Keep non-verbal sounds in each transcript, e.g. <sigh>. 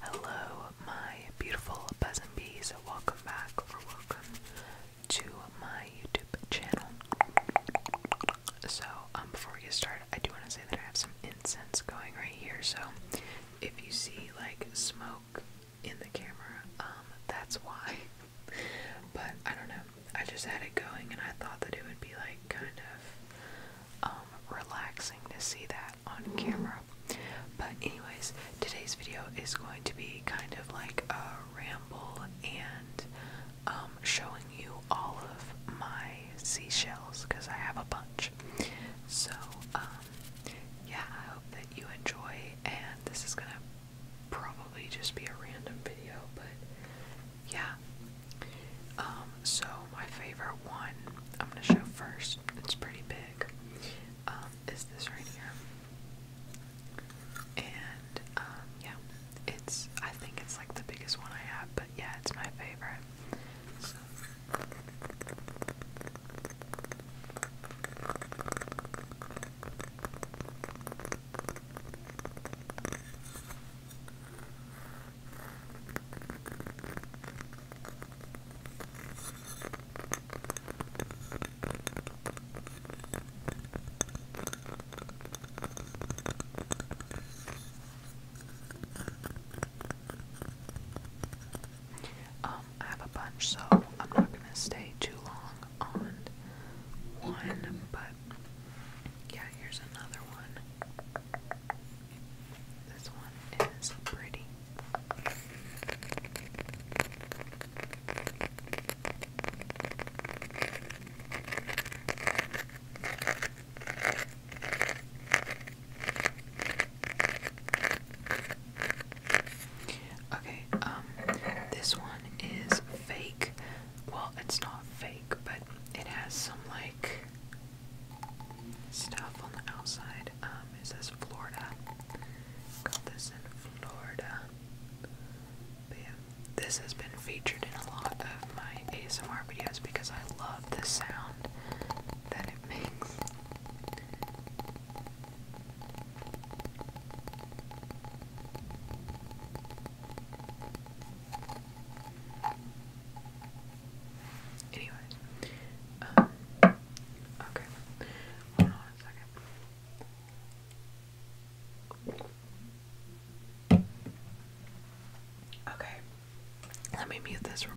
Hello, my beautiful buzz bees. Welcome back or welcome to my YouTube channel. So, um, before we get started, I do want to say that I have some incense going right here. So, if you see like smoke in the camera, um, that's why. <laughs> But I don't know. I just had it going and I thought that it would be like kind of um, relaxing to see that on camera. But anyways, today's video is going to be kind of like a ramble and um, showing you all of my seashells because I have a bunch. So um, yeah, I hope that you enjoy and this is gonna probably just be a random video, but yeah, um, so my favorite one I'm gonna show first, it's pretty big, um, is this right here. And um, yeah, it's I think it's like the biggest one I have, but yeah, it's my favorite. Um, I have a bunch, so I'm not going to stay too long on one, but yeah, here's another one. This one is pretty. Okay, um, this one is fake well, it's not fake, but it has some like stuff on the outside. Um, it says Florida. Got this in Florida. this has been featured in a lot of my ASMR videos because I love the sound that it makes. Anyways, um, okay, hold on a second. Okay, let me mute this room.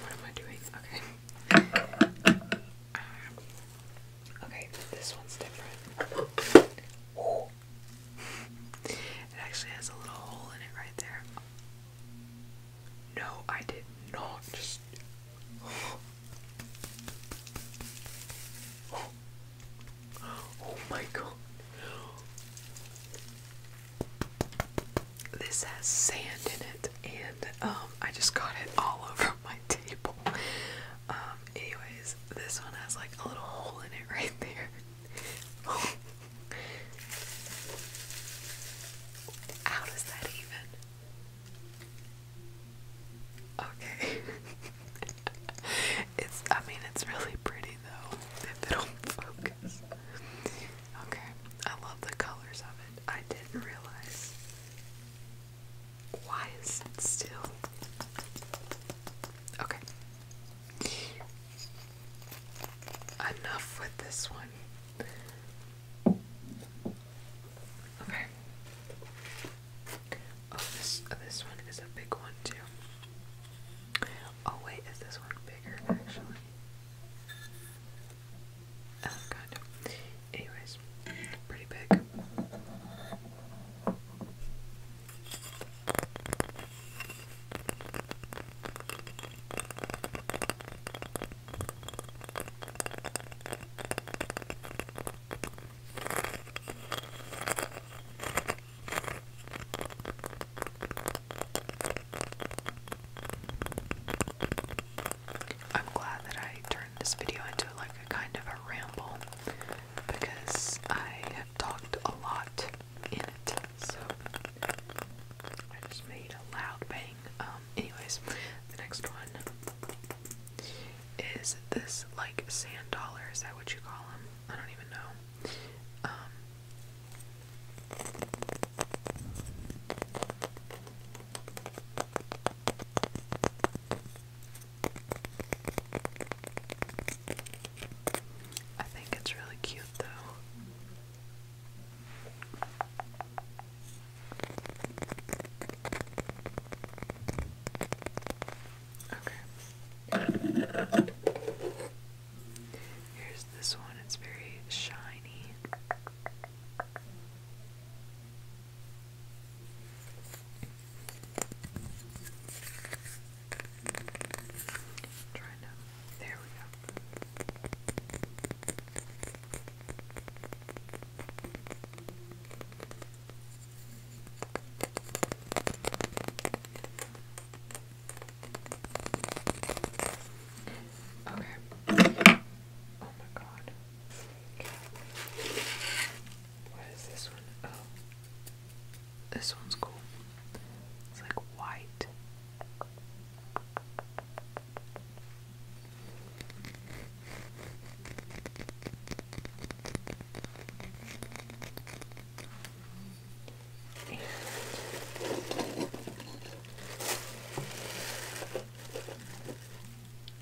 What am I doing? Okay. Um, okay, this one's different. It actually has a little hole in it right there. No, I did not just. <gasps> <gasps> <gasps> Oh my god. This has sand in it, and um, I just got it all <laughs> over my table. Um, anyways, this one has like a little hole in it right there. <laughs> How does that even? Okay. <laughs> it's I mean it's really pretty though if it'll focus. Okay. I love the colors of it. I didn't realize why is it still Okay. Enough with this one. Okay. Oh, this oh, this one is a big one too. Oh wait, is this one bigger actually? Oh god. Anyways, pretty big. I'm glad that I turned this video into like a kind of a ramble because I have talked a lot in it. So I just made a loud bang. Um, anyways, the next one is this like sand dollars? Is that what you call them? I don't even know. Um, I think it's really cute though. Okay. Here's this one, it's very shiny. trying to. There we go. Okay. oh my god. What is this one? Oh. This one's cool. It's like white. And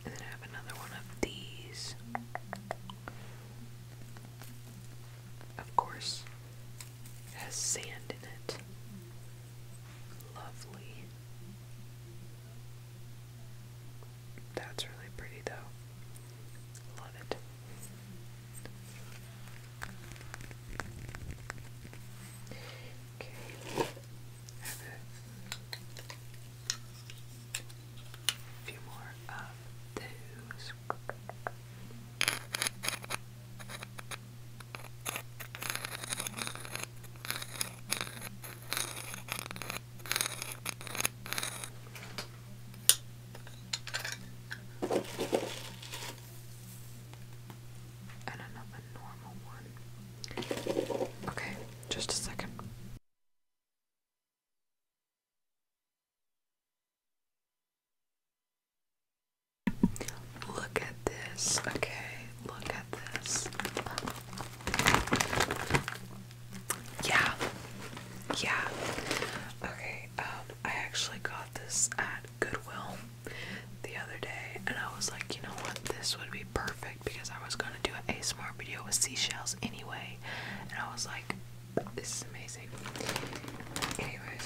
then I have another one of these. Of course, has sand in it. Lovely. That's really pretty though. Love it. Okay. I have a few more of those. And another normal one. Okay, just a second. Look at this. Okay, look at this. Yeah. Yeah. Okay, um, I actually got this at Goodwill the other day, and I was like, you know what, this would be perfect because I was gonna do an ASMR video with seashells anyway, and I was like, this is amazing. Anyways,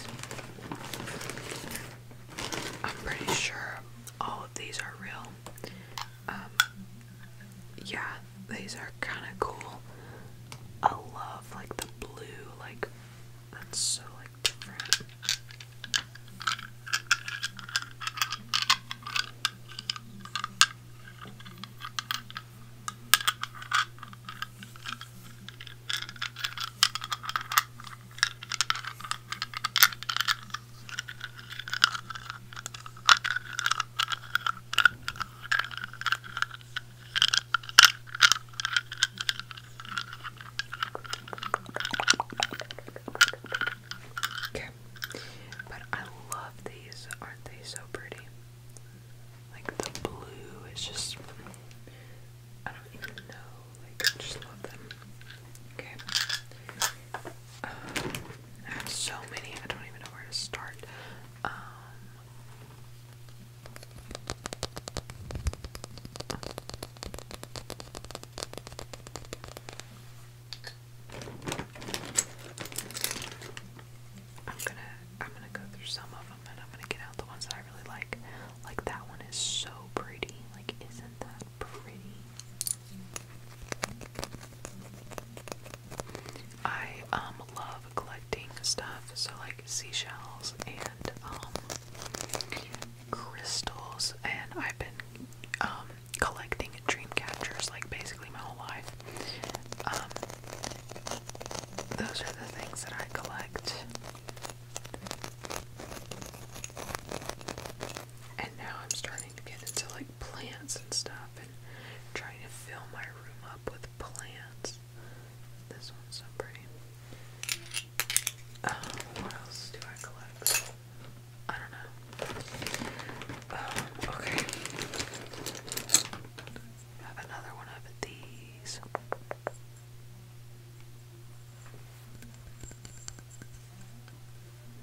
I'm pretty sure all of these are real. Um, yeah, these are kind of cool. I love like the blue, like that's so different. Okay. But I love these. Aren't they so pretty? Like the blue is just I don't even know. Like just love them. Okay. Um, I have so many, I don't even know where to start. Um, I'm gonna I'm gonna go through some of them and I'm gonna get out the ones that I really like. Like that one is so pretty. Like isn't that pretty? I um love collecting stuff, so like seashells and um, crystals and I've been um collecting dream catchers like basically my whole life. Um those are the things that I collect. And now I'm starting to get into like plants and stuff and trying to fill my room up with plants. This one's so pretty. Uh, what else do I collect? I don't know. Um, okay. have another one of these.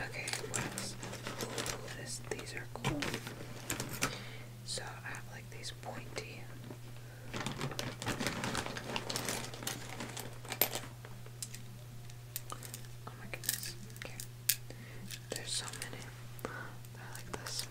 Okay, what oh, these are cool. So I have like these pointy. Oh my goodness. Okay. There's so many. They're like this.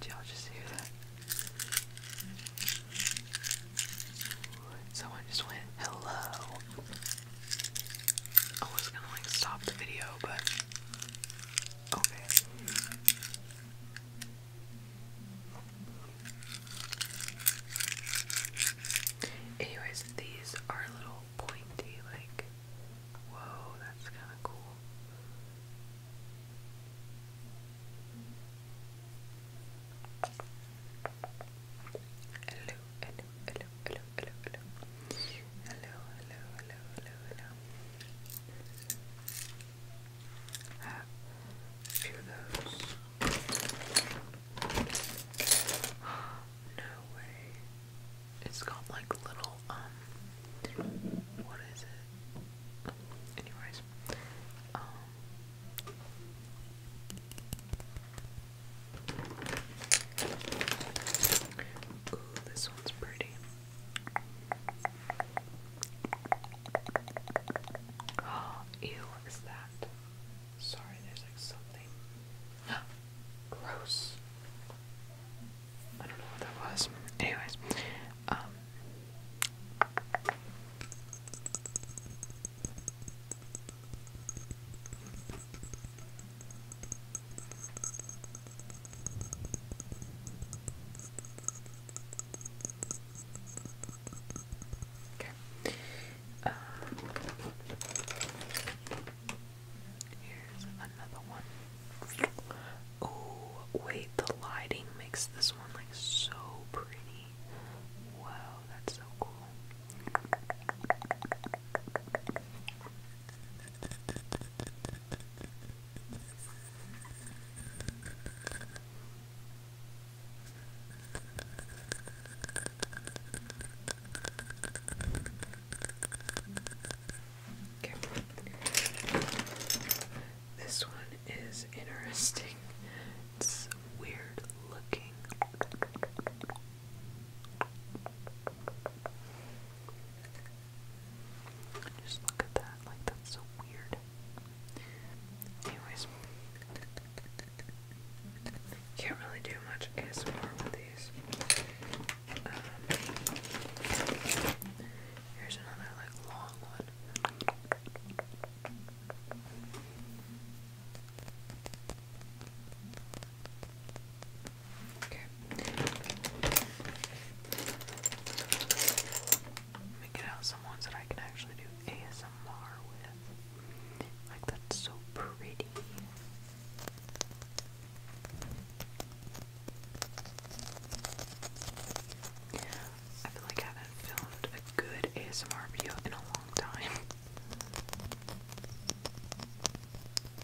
Did y'all just hear that? Someone just went, hello. I was gonna like stop the video, but okay. Anyways, these are a little pointy, like, whoa, that's kind of cool hello, hello, hello, hello, hello, hello, hello, hello, hello, hello, hello. Have a few of those. <gasps> No way. It's got like little um what is it? Anyways, guys. Um, this one's pretty. Oh, ew, what is that? Sorry, there's like something. <gasps> Gross. I don't know what that was. Anyways, um, Okay. Um, here's another one. Oh, wait, the lighting makes this one like so pretty. Wow, that's so cool. Okay. This one is interesting. It's weird looking. Just look at that. Like, that's so weird. Anyways, can't really do much ASMR with these. Um, here's another like long one. Okay. Let out some ones that I can actually do ASMR with. Like, that's so pretty. I feel like I haven't filmed a good ASMR video in a long time.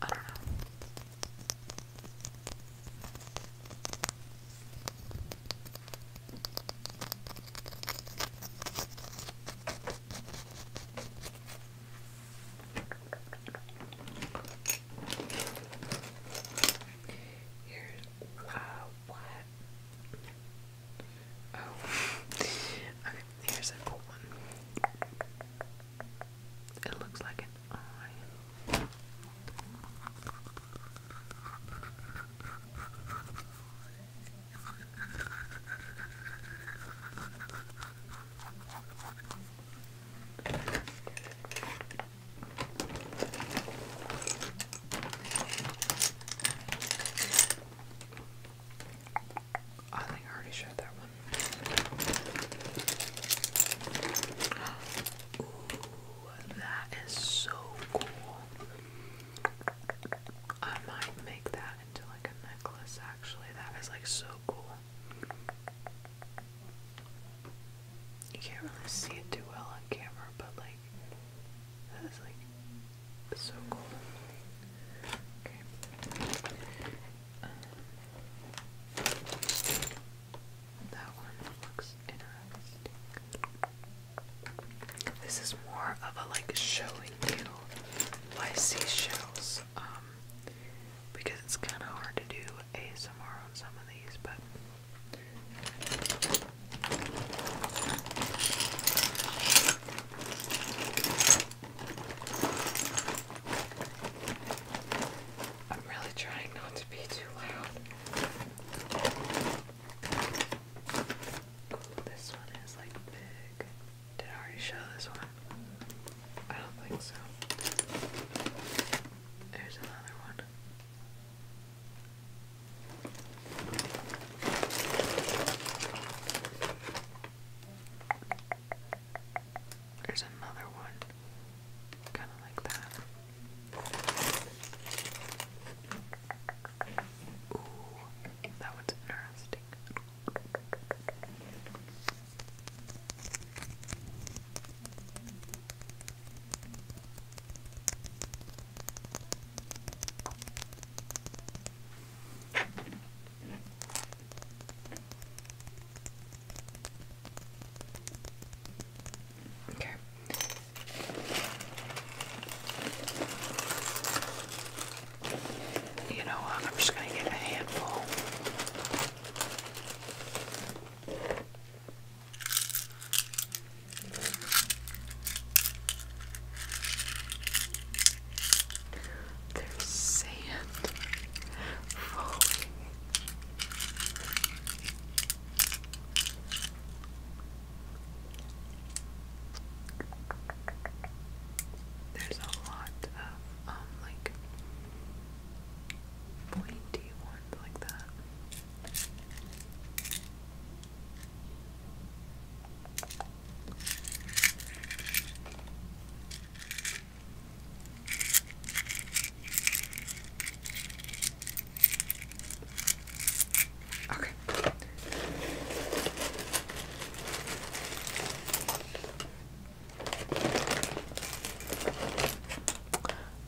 I don't know. Here's uh, what? Oh. <laughs> okay, here's a cool one. It looks like an eye. I think I already showed that one. Ooh, that is so cool. I might make that into like a necklace actually. That is like so cool you can't really see it too well on camera, but like that is like so cool. Okay. Um, that one looks interesting. This is more of a like showing you why seashells. Um, because it's kind of hard to do ASMR on some of these, but I'm really trying not to be too loud. this one is like big. Did I already show this one? I don't think so. There's another one. There's another one, kind of like that. Ooh, that one's interesting. Okay. You know I'm just going to get a handful. There's sand falling. There's a lot of um like pointy ones like that. Okay.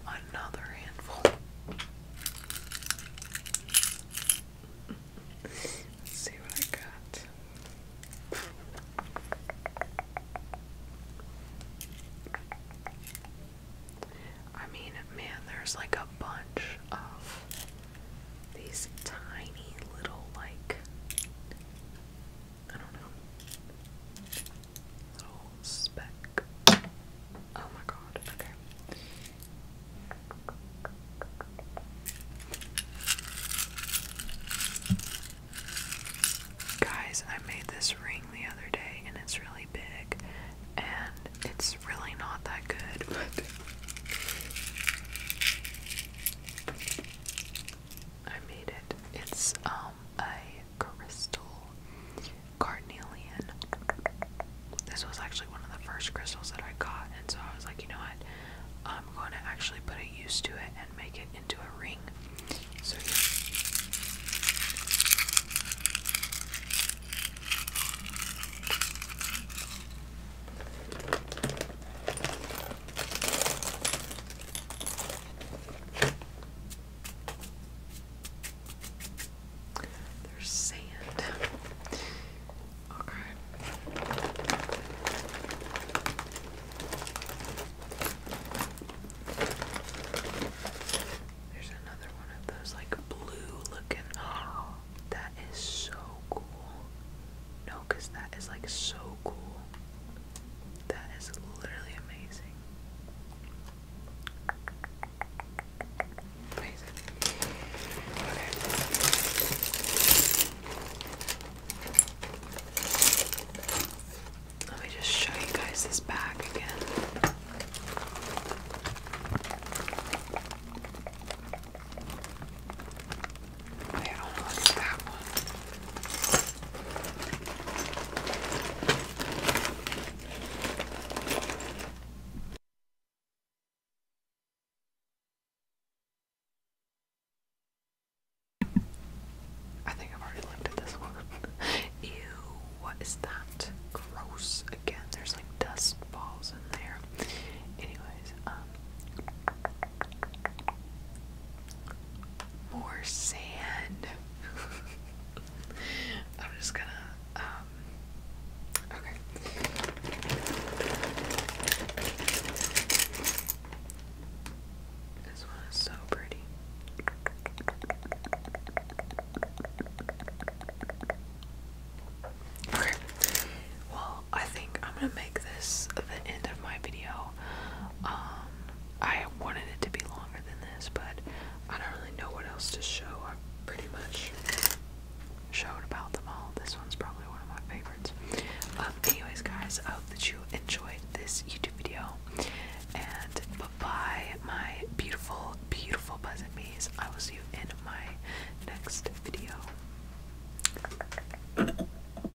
Another handful. see what I got. I mean, man, there's like a bunch of these tiny little, like, I don't know. Little speck. Oh my god, okay. Guys, I made this ring the other day and it's really big and it's really not that good, but <laughs> I made it. It's um a crystal carnelian. This was actually one of the first crystals that I got, and so I was like, you know what? I'm going to actually put a use to it and make it into a ring. So yeah. There's sand. Okay. There's another one of those like blue looking. Oh, that is so cool. No, that is like so cool. That is literally amazing. Amazing. Okay. Let me just show you guys this bag again. I don't one. I think I've already looked at this one. <laughs> Ew, what is that? Gross. Again, there's like dust balls in there. Anyways, um more sand. <laughs> I'm just gonna, um, okay. This one is so pretty. Okay, well, I think I'm gonna make this the end of my video. Um, I wanted it to be longer than this, but I don't really know what else to show. I pretty much showed about them all. This one's probably one of my favorites. Um, anyways, guys, I hope that you enjoyed this YouTube video. And bye my beautiful, beautiful Pleasant I will see you in my next video.